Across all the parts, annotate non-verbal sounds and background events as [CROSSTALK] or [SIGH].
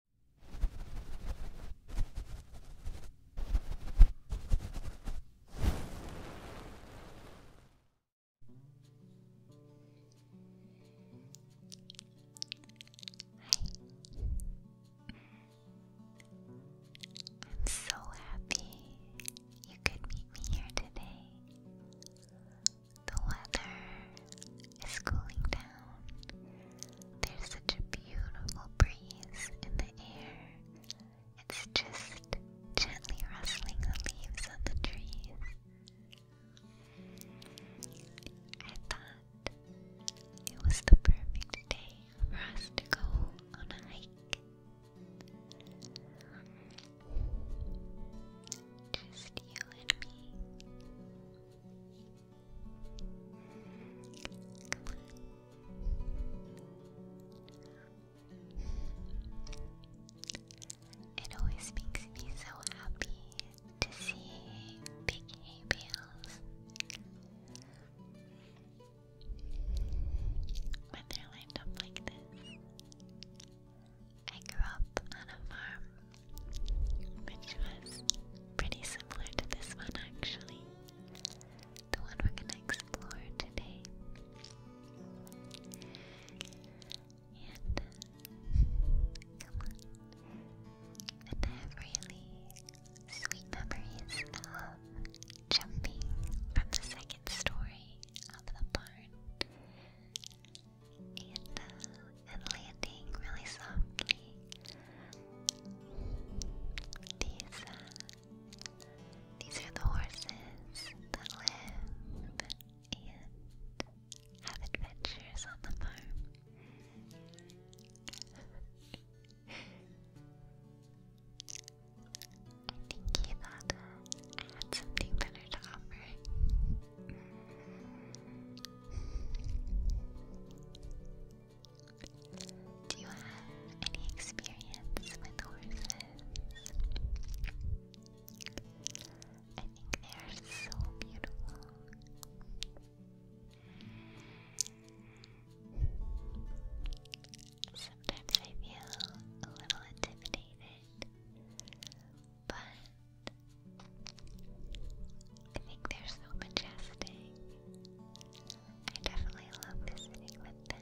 I'm so happy you could meet me here today. The weather is cooling down. There's such a beautiful breeze in the air. It's just gently rustling the leaves on the trees. I thought it was the perfect day for us to go on a hike. Just you and me. It always makes me so happy to see big hay bales when they're lined up like this. I grew up on a farm which was pretty similar to this one actually. The one we're going to explore today. And [LAUGHS] come on. And have really sweet memories of jumping from the second story of the barn and, landing really softly. These, uh, these are the horses that live and have adventures on the farm. [LAUGHS] I think something better to offer. Do you have any experience with horses? I think they are so beautiful. Sometimes I feel a little intimidated, but I think they're so majestic. I definitely love visiting with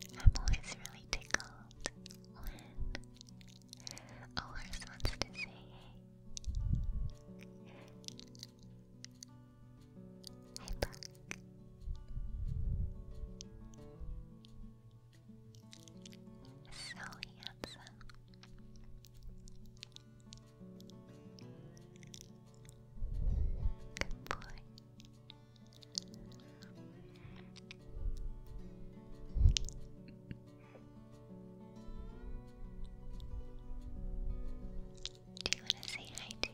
And I'm always really tickled when a horse wants to say hey. Hi, So handsome. Good boy. Do you want to say hi to?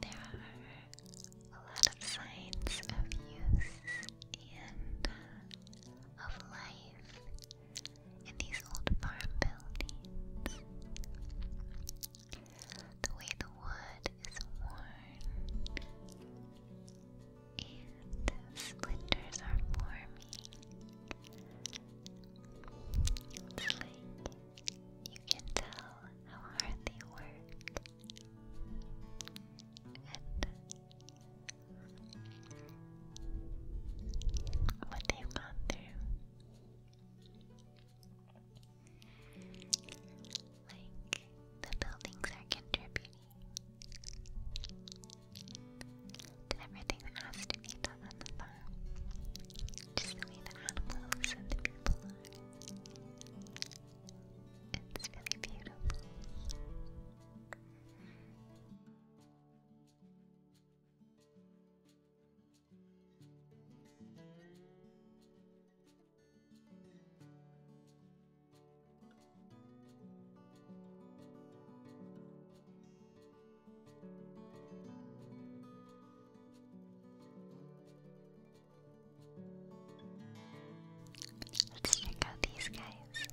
There are a lot of signs of use and uh, of life in these old farm buildings. The way the wood is worn and splinters are forming. It's like you can tell how hard they work. And what they've gone through. Like, the buildings are contributing to everything that has to be done on the farm. Just the way the animals and the people It's really beautiful. Let's check out these guys.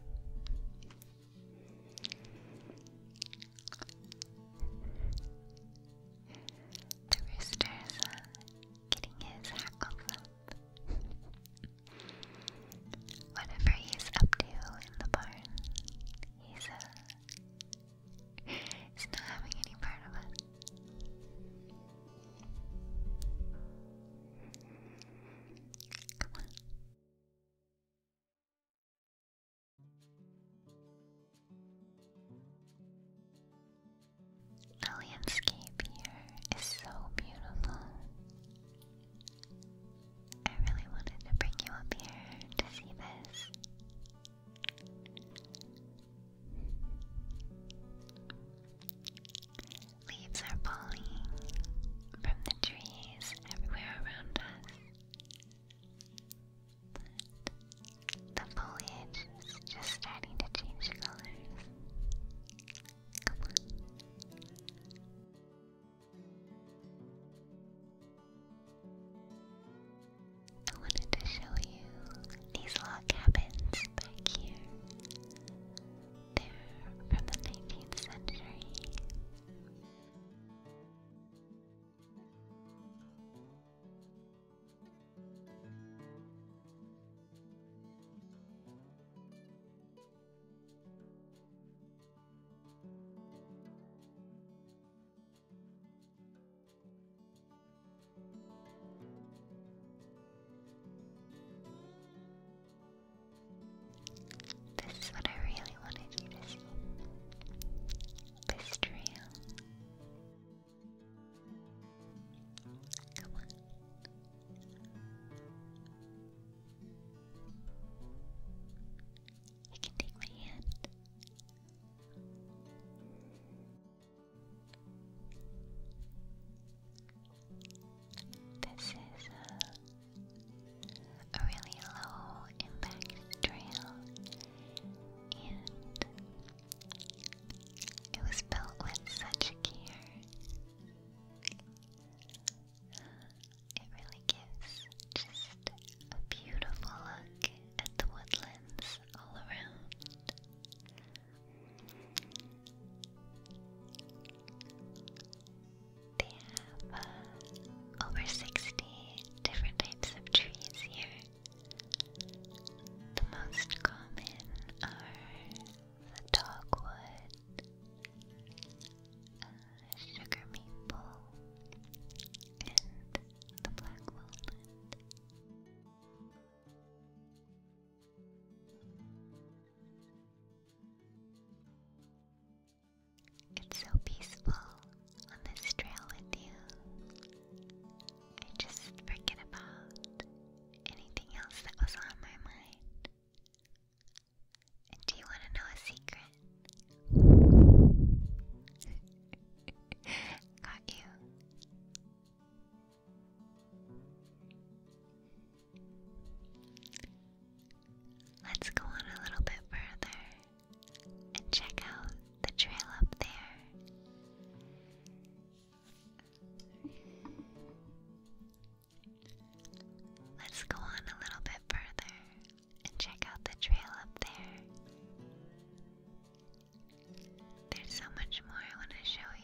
The rooster's uh, getting his hackles up. Whatever he's up to in the barn, uh, he's not having any part of it. Come on. The landscape here is so beautiful. I really wanted to bring you up here to see this. Leaves are falling from the trees everywhere around us. The foliage is just starting to change colors. I wanted to show you these log cabins back here. They're from the 19th century. This is what I really wanted you to see this trail. Come on. You can take my hand. This is a uh, a really low impact trail, and it was built with such care. It really gives just a beautiful look at the woodlands all around. They have uh, over 60 different types of trees here. The most common are the dogwood, sugar maple, and the black walnut. It's so peaceful on this trail with you. I just forget about anything else that was on my mind. do you want to know a secret? [LAUGHS] Got you. Let's go on a little bit further and check out the trail up there. Let's go on a little bit further and check out the trail up there. There's so much more I want to show you.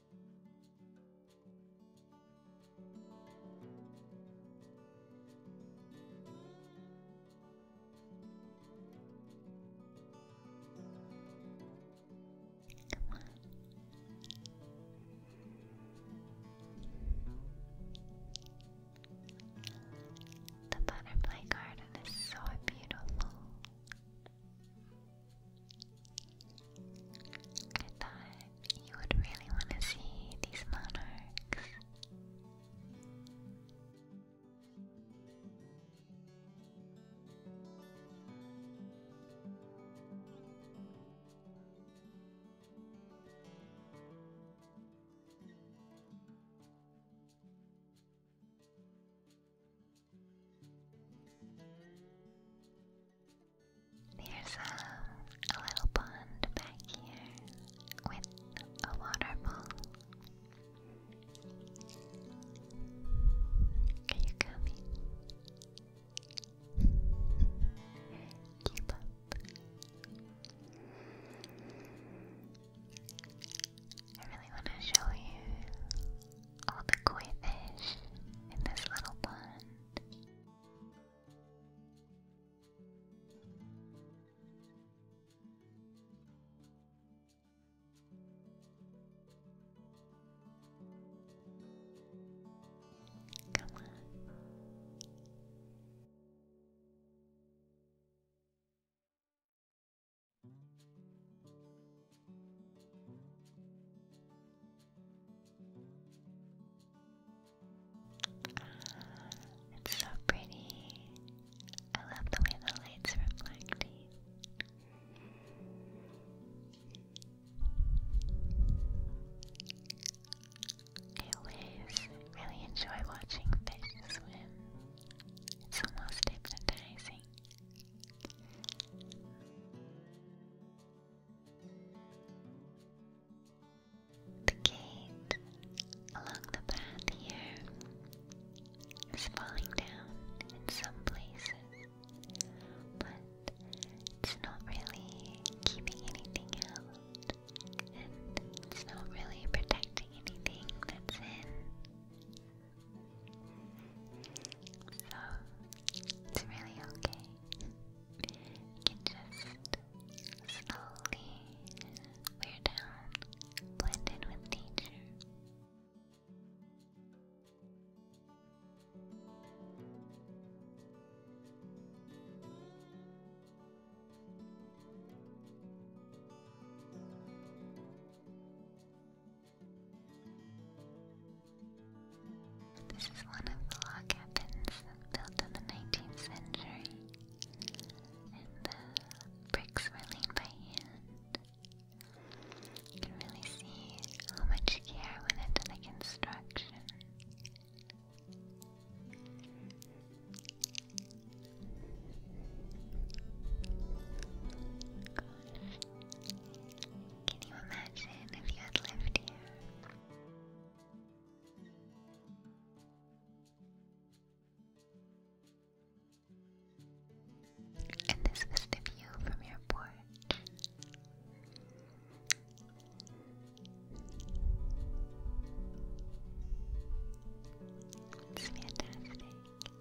The butterfly garden is so beautiful. I thought you would really want to see these monarchs. There's a, little pond back here with a waterfall. Are you coming? Keep up. I really want to show you all the koi fish in this little pond. Come on. It's so pretty. I love the way the light's reflecting. always really enjoy watching fish swim. It's almost hypnotizing. The gate along the path here is falling down in some places, but it's not really keeping anything out, and it's not really protecting anything that's in. So, it's really okay. You can just slowly wear down, blend in with nature. This is one of the log cabins built in the 19th century, and the bricks were laid by hand. You can really see how much care went into the construction. Can you imagine if you had lived here? And this was the view from your porch. It's fantastic.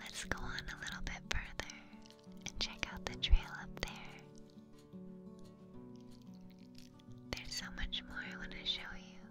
Let's go on a little bit further and check out the trail up there. There's so much more I want to show you,